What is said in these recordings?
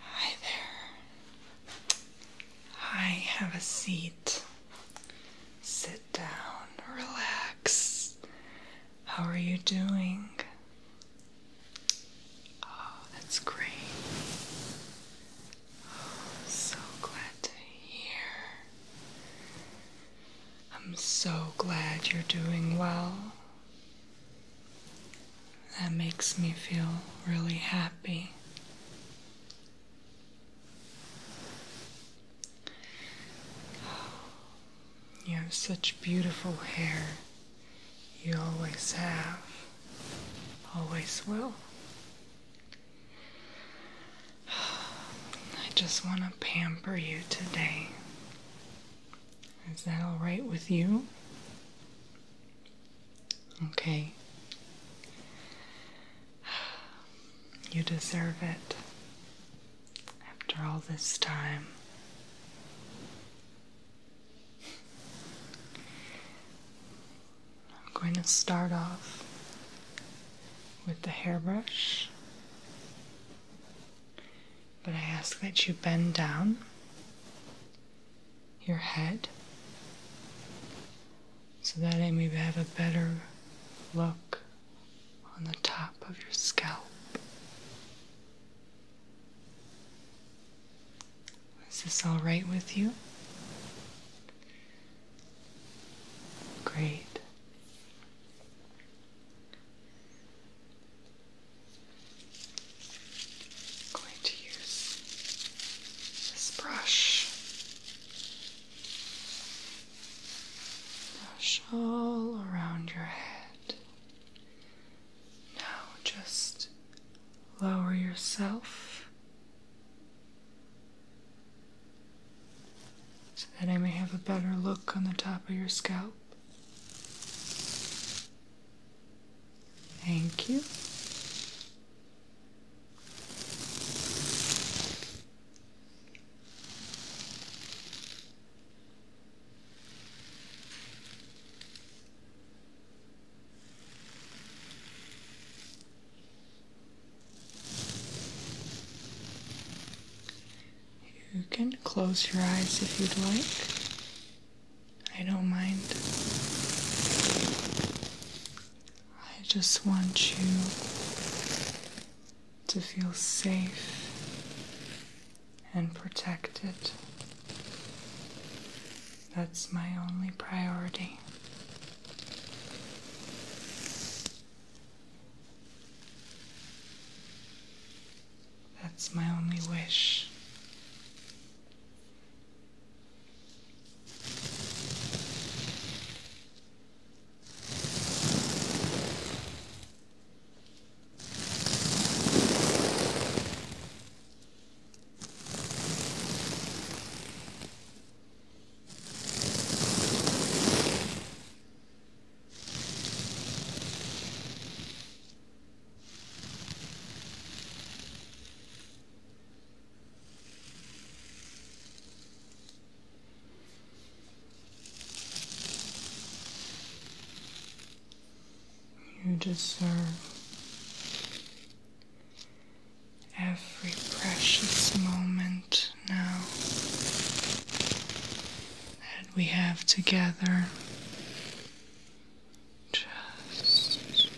Hi there. I have a seat. Sit down, relax. How are you doing? Oh, that's great. Oh, so glad to hear. I'm so glad you're doing well. That makes me feel really happy. You have such beautiful hair. You always have, always will. I just want to pamper you today. Is that all right with you? Okay. You deserve it. After all this time. I'm going to start off with the hairbrush. But I ask that you bend down your head so that I may have a better look on the top of your scalp. Is this all right with you? Great. I'm going to use this brush. Brush all around your head. Now just lower yourself so that I may have a better look on the top of your scalp. Thank you. You can close your eyes if you'd like. I don't mind. I just want you to feel safe and protected. That's my only priority. That's my only wish. You deserve every precious moment now that we have together. Just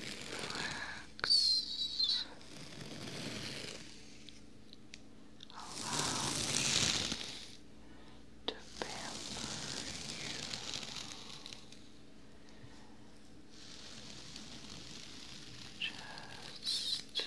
relax. Allow me to pamper you. Just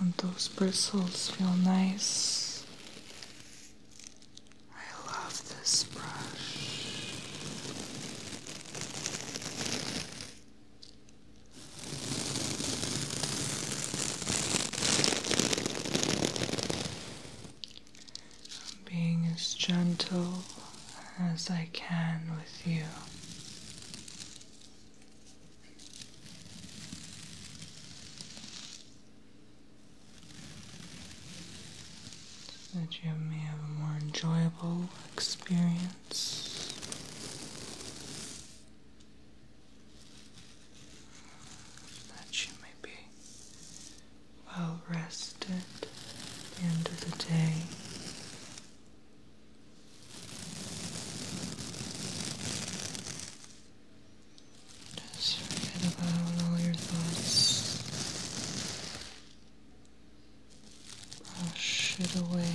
Don't those bristles feel nice? I love this brush being as gentle as I can with you. So that you may have a more enjoyable experience. That you may be well rested end of the day. Just forget about all your thoughts brush it away.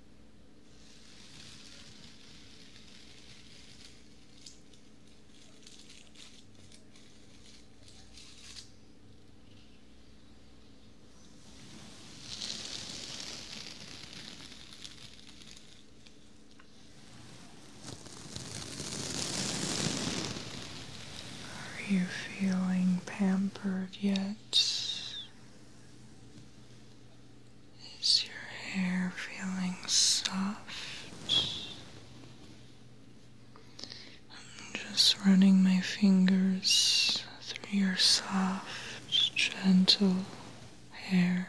Are you feeling pampered yet? Is your hair feeling soft? I'm just running my fingers through your soft, gentle hair.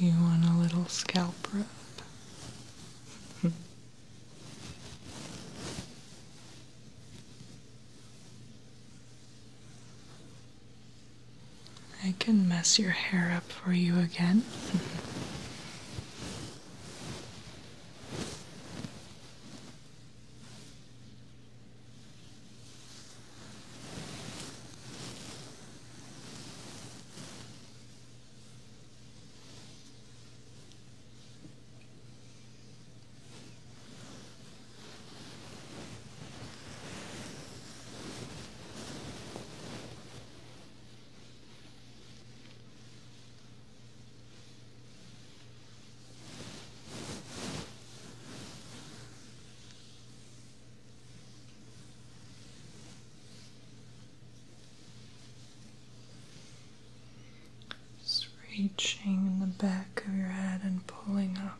Do you want a little scalp rub? I can mess your hair up for you again. Just reaching in the back of your head and pulling up.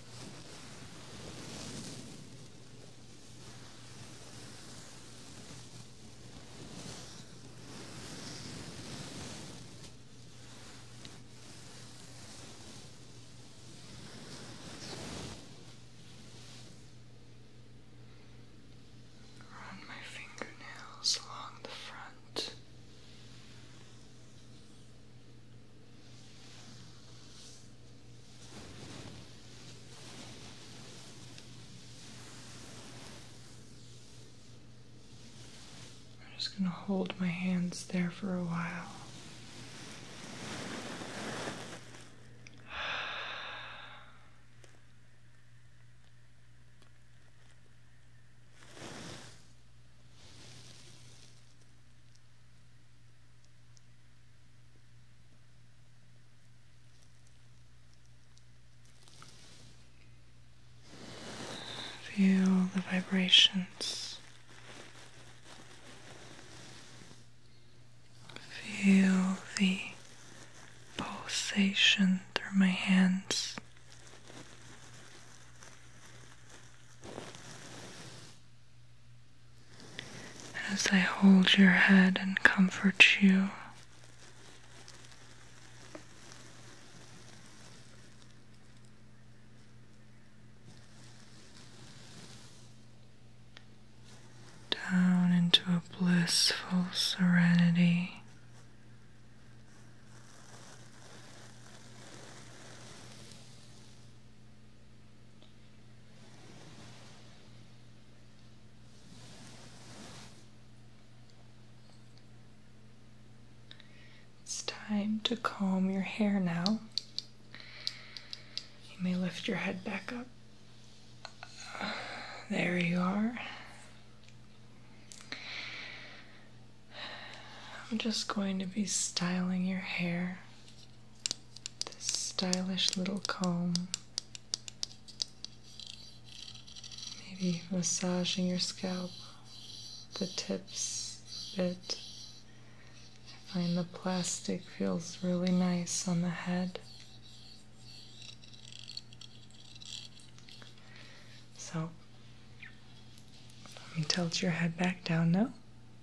Run my fingernails along the front. I'm just going to hold my hands there for a while. Feel the vibrations. Feel the pulsation through my hands as I hold your head and comfort you. Down into a blissful serenity. It's time to comb your hair now. You may lift your head back up. There you are. I'm just going to be styling your hair. This stylish little comb. Maybe massaging your scalp, the tips a bit. I find the plastic feels really nice on the head. So, let me tilt your head back down now.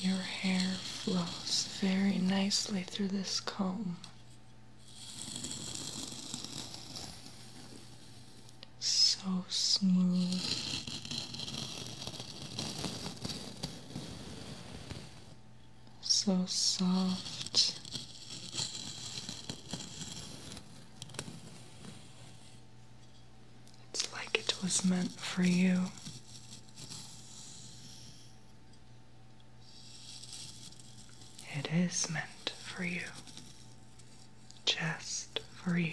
Your hair flows very nicely through this comb. So smooth. So soft. It's like it was meant for you. It is meant for you, just for you.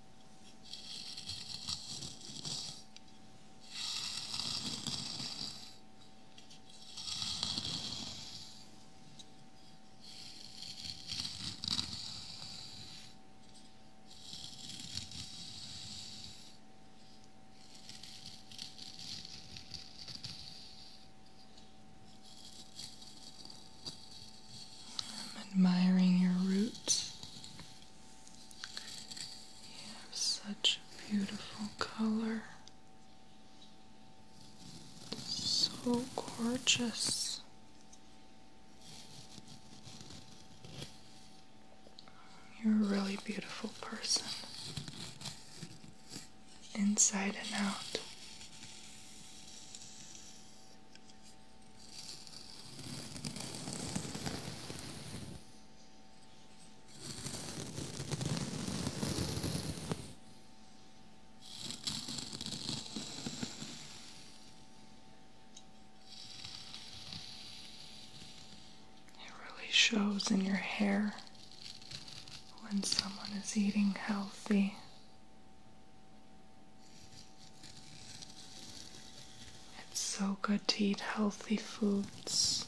I'm admiring your roots you have such a beautiful color. So gorgeous. You're a really beautiful person, inside and out. It really shows in your hair when someone is eating healthy. It's so good to eat healthy foods.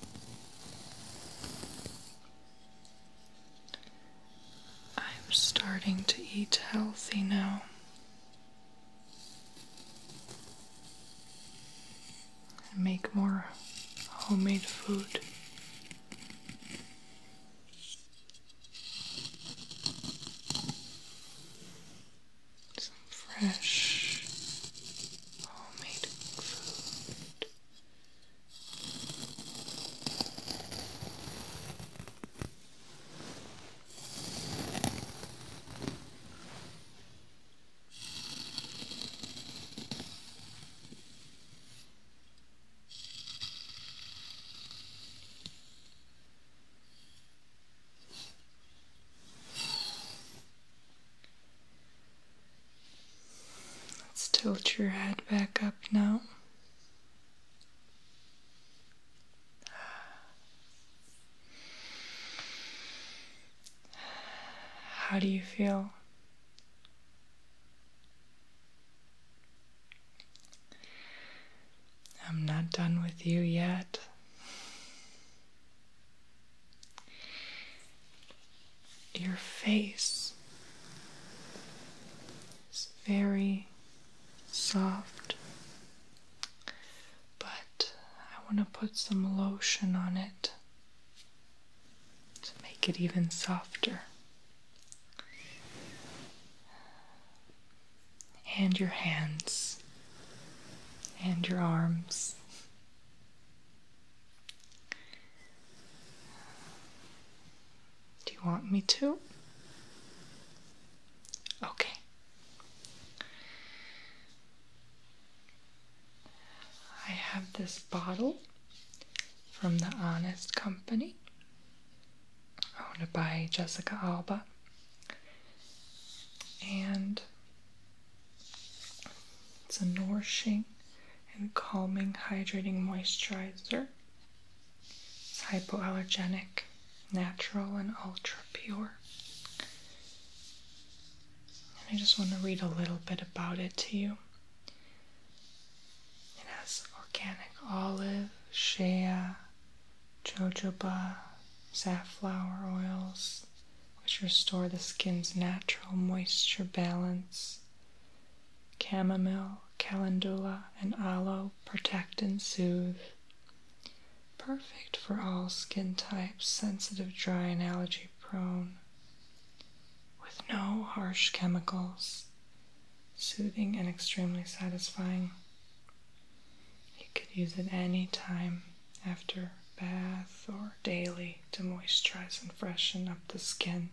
I'm starting to eat healthy now. And make more homemade food some fresh homemade food. Let's tilt your head back up now. How do you feel? I'm not done with you yet. Your face is very soft, but I want to put some lotion on it to make it even softer and your hands and your arms. Do you want me to? Okay. I have this bottle from the Honest Company owned by Jessica Alba. And it's a nourishing and calming hydrating moisturizer. It's hypoallergenic, natural, and ultra pure. And I just want to read a little bit about it to you. It has organic olive, shea, jojoba, safflower oils, which restore the skin's natural moisture balance. Chamomile, calendula, and aloe protect and soothe. Perfect for all skin types, sensitive, dry, and allergy prone. With no harsh chemicals. Soothing and extremely satisfying. You could use it any time after bath or daily to moisturize and freshen up the skin.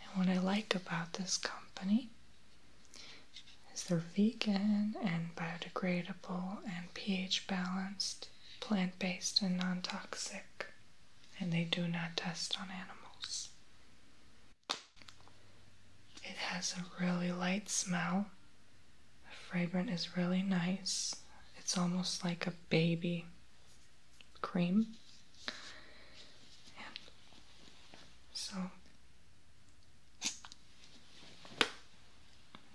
And what I like about this company is they're vegan and biodegradable and pH balanced, plant based and non toxic, and they do not test on animals. It has a really light smell. The fragrance is really nice. It's almost like a baby cream. so I'm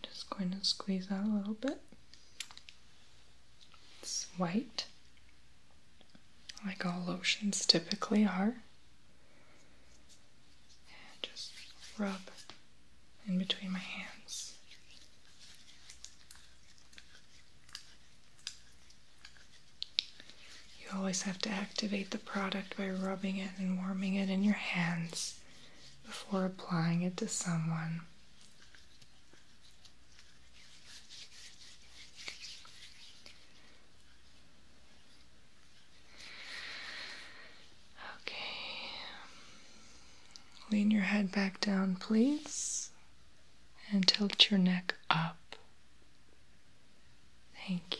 just going to squeeze out a little bit. It's white, like all lotions typically are. And just rub in between my hands. You always have to activate the product by rubbing it and warming it in your hands before applying it to someone. Okay. Lean your head back down, please, and tilt your neck up. Thank you.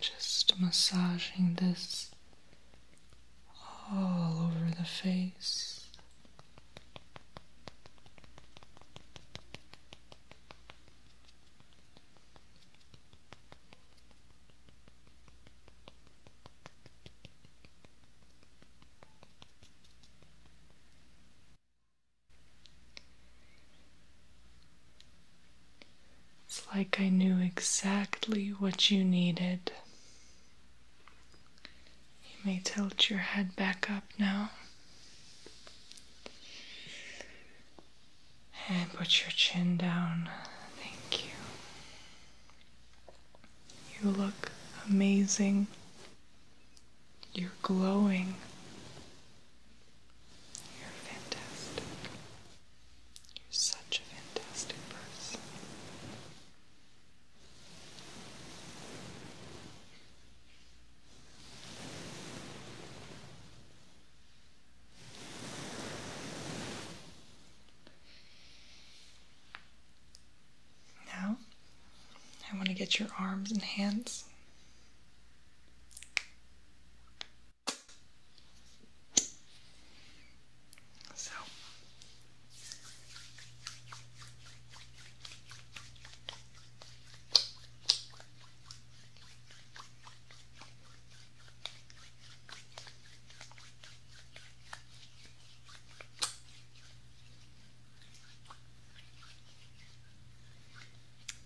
Just massaging this all over the face. It's like I knew exactly what you needed. You may tilt your head back up now. And put your chin down. Thank you. You look amazing. You're glowing. You're fantastic. You're such a fantastic person. Now, I want to get your arms and hands. So,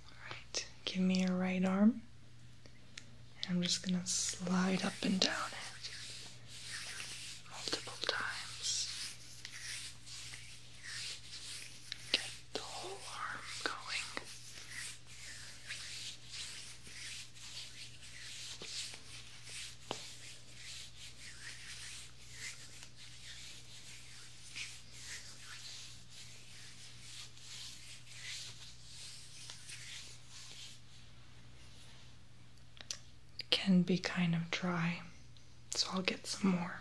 Alright, give me your right arm. And I'm just gonna slide up and down it multiple times. Get the whole arm going. Can be kind of dry, so I'll get some more.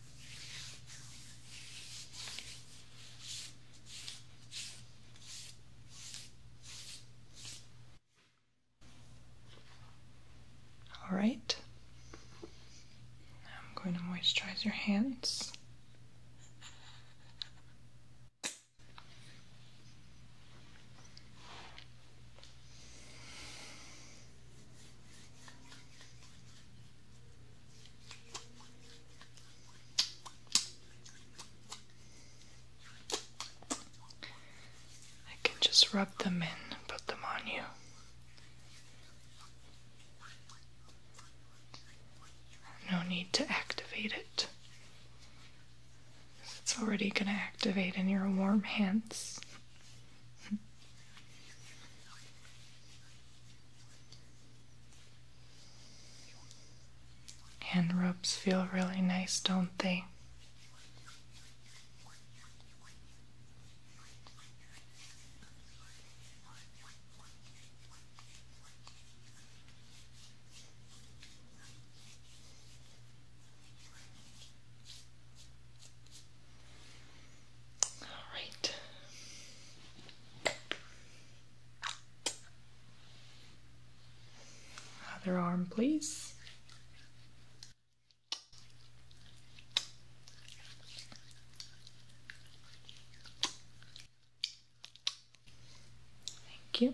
All right. I'm going to moisturize your hands. I can just rub them in and put them on you. No need to activate it. It's already going to activate in your warm hands. Hand rubs feel really nice, don't they? Other arm, please. Thank you.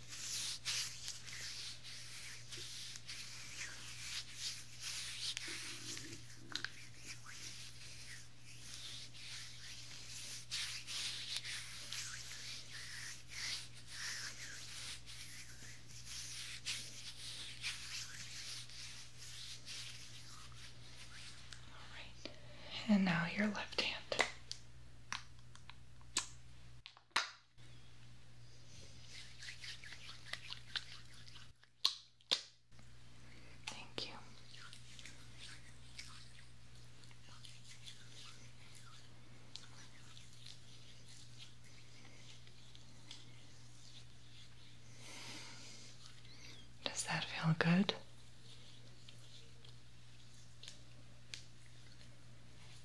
All right, and now your left hand. Thank you. Does that feel good?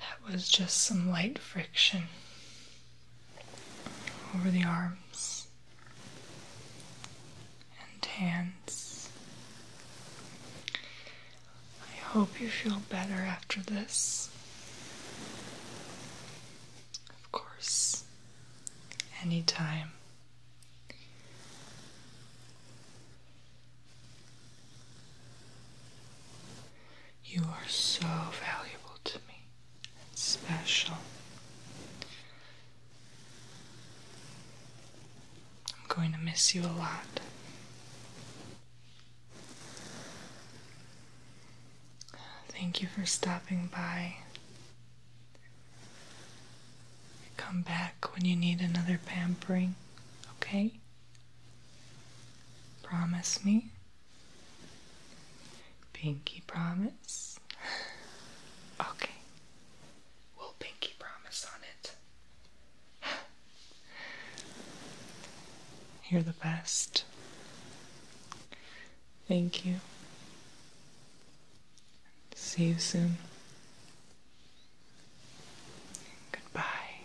That was just some light friction over the arms and hands. I hope you feel better after this. Of course, anytime. You are so valuable to me, special. I'm going to miss you a lot. Thank you for stopping by. Come back when you need another pampering, okay? Promise me. Pinky promise? okay. We'll pinky promise on it. You're the best. Thank you. See you soon. Goodbye.